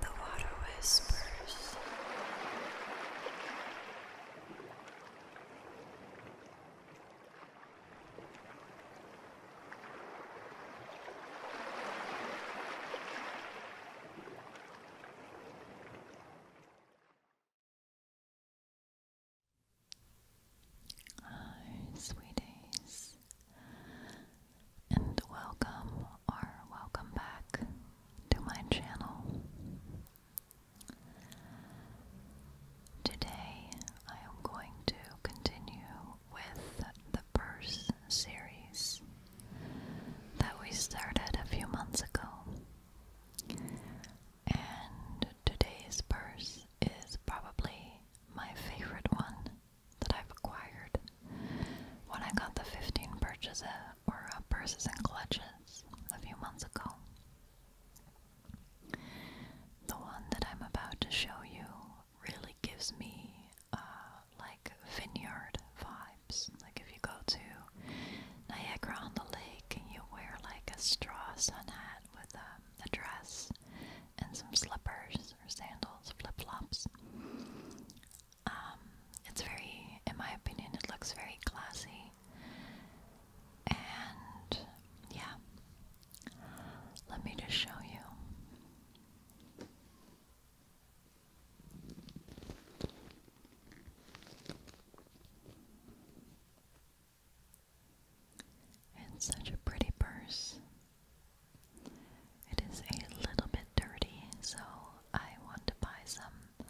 The water whispers. Hi, sweeties and welcome or welcome back to my channel. Today I am going to continue with the purse series that we started a few months ago. And today's purse is probably my favorite one that I've acquired. When I got the 15 purchase or uh, purses and clutches a few months ago. The one that I'm about to show you really gives me uh, like vineyard vibes. Like if you go to Niagara on the lake and you wear like a straw sun hat with um, a dress and some slippers sandals, flip flops. Um, it's very, in my opinion, it looks very classy. And yeah, let me just show you. It's such a pretty purse. It is a little bit dirty, so I want to buy some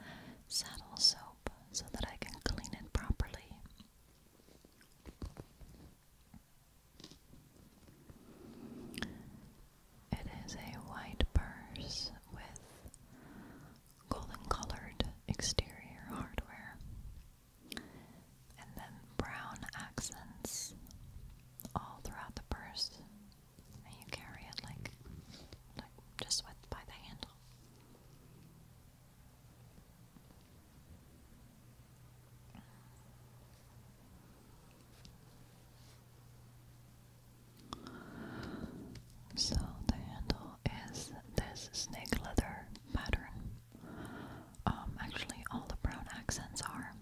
saddle soap so that I can clean it properly. It is a white purse with golden colored exterior hardware and then brown accents all throughout the purse. And you carry it like, like just with by the handle. So the handle is this snake leather pattern. Um, actually, all the brown accents are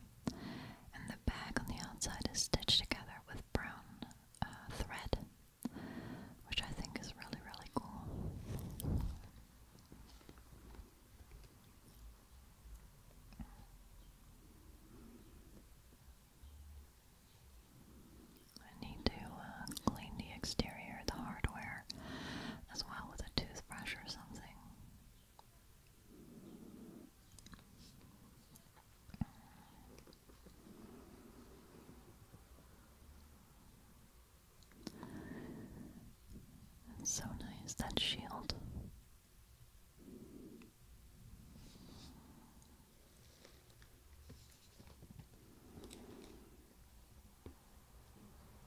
and the bag on the outside is stitched together with brown uh, thread, which I think is really, really cool. I need to uh, clean the exterior, the hardware, as well with a toothbrush or something so nice, that shield.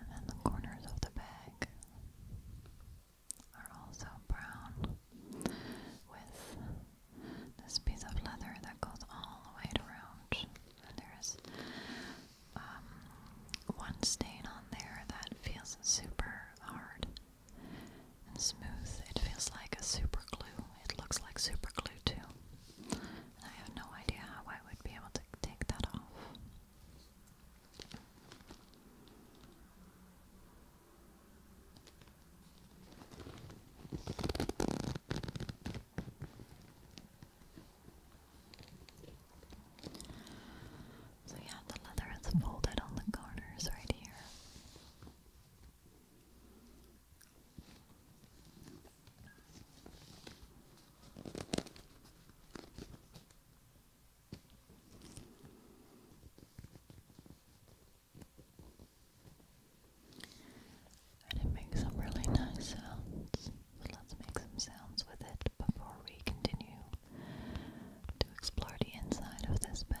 And then the corners of the bag are also brown with this piece of leather that goes all the way around. And there's um, one stain on there that feels super hard and smooth. It feels like a super glue. It looks like super glue too. And I have no idea how I would be able to take that off. So, yeah, the leather is folded on the corners right here. And it makes some really nice sounds. let's make some sounds with it before we continue to explore the inside of this bag.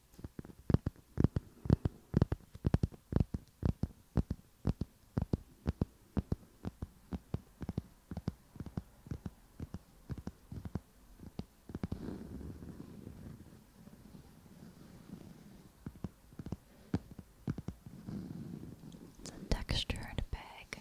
It's a textured bag.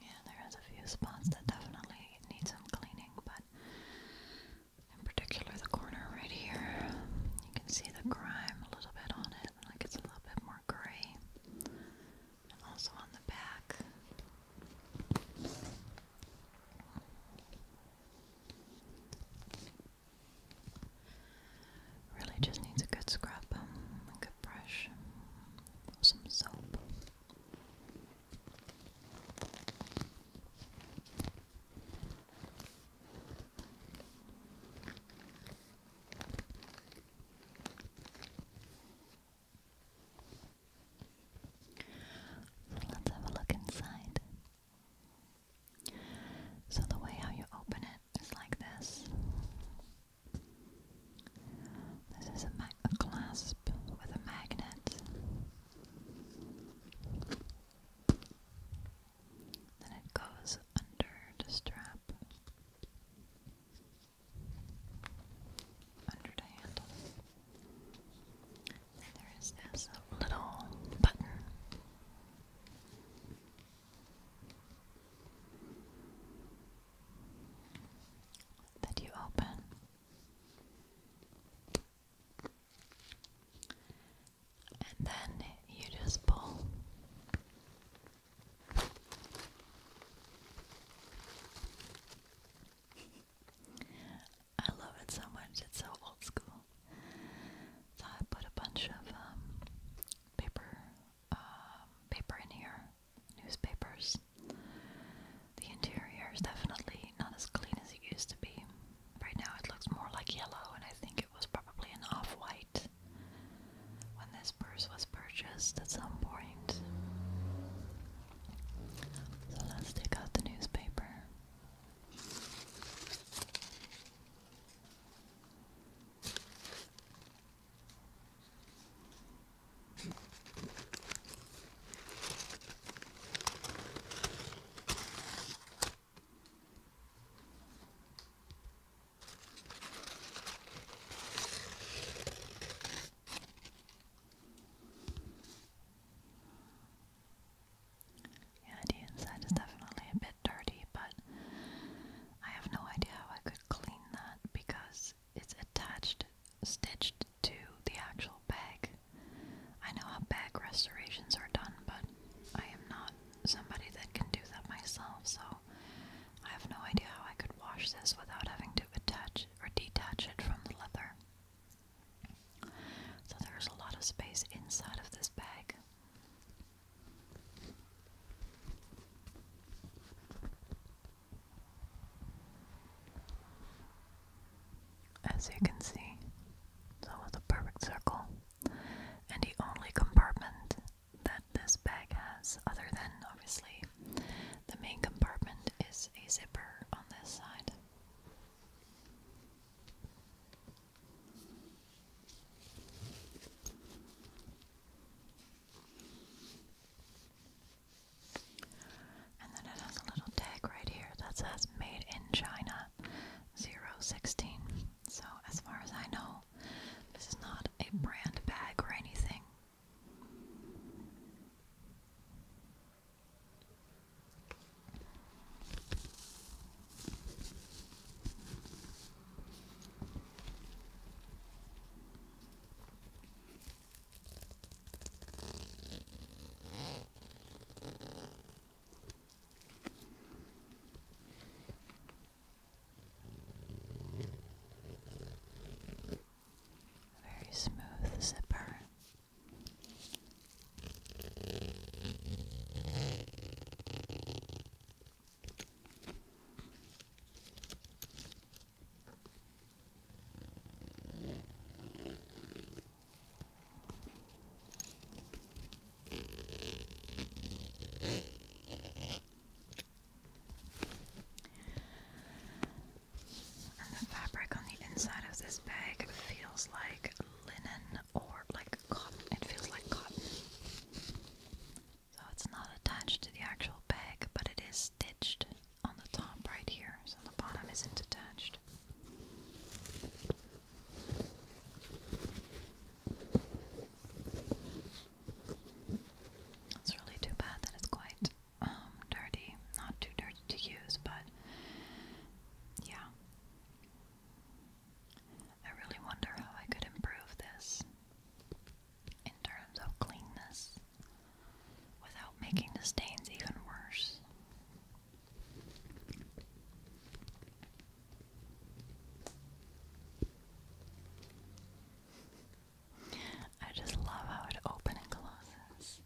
Yeah, there is a few spots that definitely need some cleaning, but in particular the corner right here. You can see the grime a little bit on it, like it's a little bit more gray. also on the back. Really just needs a good scrub, um, a good brush, some soap. Let's have a look inside. So, the way how you open it is like this this is a clasp with a magnet. Then it goes under the strap, under the handle. And there is this little button. That you open and then you just pull. I love it so much, it's so old school. I put a bunch of um, paper, um, paper in here, newspapers. The interior is definitely not as clean as it used to be. Right now it looks more like yellow, and I think it was probably an off white when this purse was purchased at some point. So let's take out the newspaper. Yeah, the inside is definitely a bit dirty, but I have no idea how I could clean that because it's attached, stitched to the actual bag. I know how bag restorations are done, but I am not somebody that can do that myself, so I have no idea how I could wash this without having to attach or detach it from the leather. So there's a lot of space inside of this bag. As you can see, it's almost a perfect circle. And the only compartment that this bag has, other than obviously the main compartment, is a zipper on this side. And then it has a little tag right here that says Made in China 016. So, as far as I know, this is not a brand bag or anything. Very smooth zipper the fabric on the inside of this bag feels like linen or like cotton. It feels like cotton. So it's not attached to the actual bag, but it is stitched on the top right here, so the bottom isn't attached. It's really too bad that it's quite um, dirty. Not too dirty to use, but yeah. I really wonder how I could improve this in terms of cleanness without making the stains even worse. I just love how it opens and closes.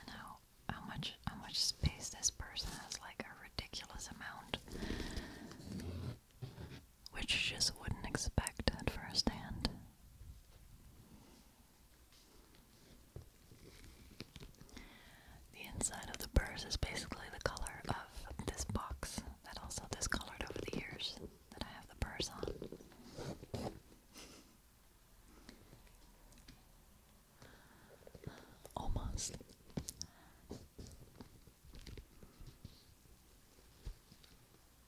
And how how much how much space this person has like a ridiculous amount. Which you just wouldn't expect at first hand. The inside of the purse is basically the color of this box that also discolored over the years that I have the purse on. Almost.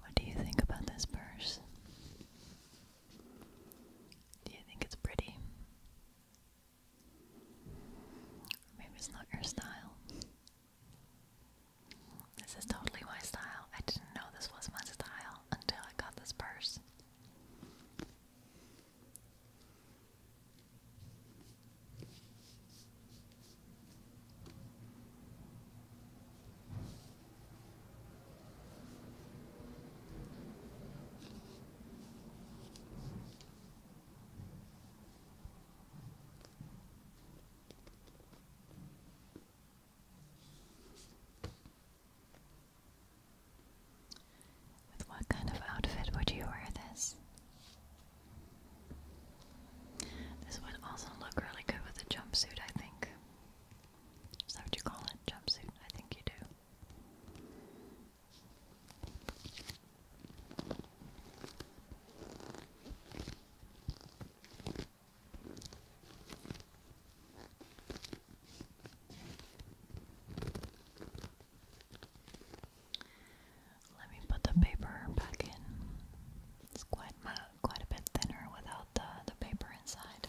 What do you think about this purse? Do you think it's pretty? Maybe it's not your style. This is totally my style. I didn't know this was my style until I got this purse. With what kind of outfit would you wear this? This would also look really good with a jumpsuit, I think. Is that what you call it? Jumpsuit? I think you do. Let me put the paper back in. It's quite quite a bit thinner without the the paper inside.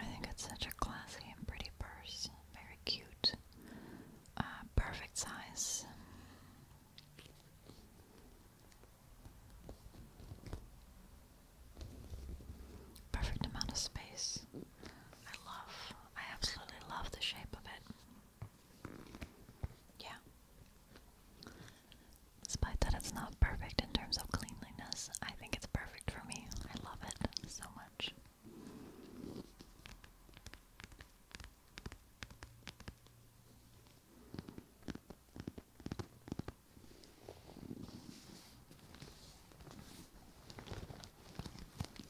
I think it's such a classy and pretty purse. Very cute. Uh, perfect size. Perfect amount of space. I love, I absolutely love the shape of it. Yeah. Despite that it's not perfect in terms of cleanliness, I think it's perfect for me. I love it so much.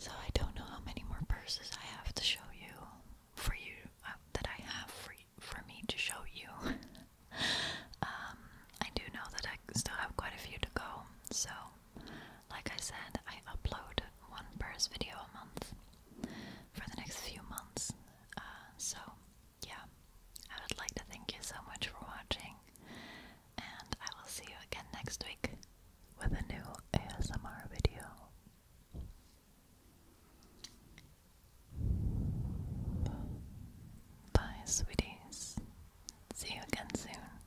So I don't know how many more purses I have to show you for you uh, that I have for for me to show you. Um, I do know that I still have quite a few to go. So, like I said, I upload one purse video a month for the next few months. Uh, so yeah, I would like to thank you so much for watching, and I will see you again next week with a new ASMR video. Bye, sweeties. See you again soon.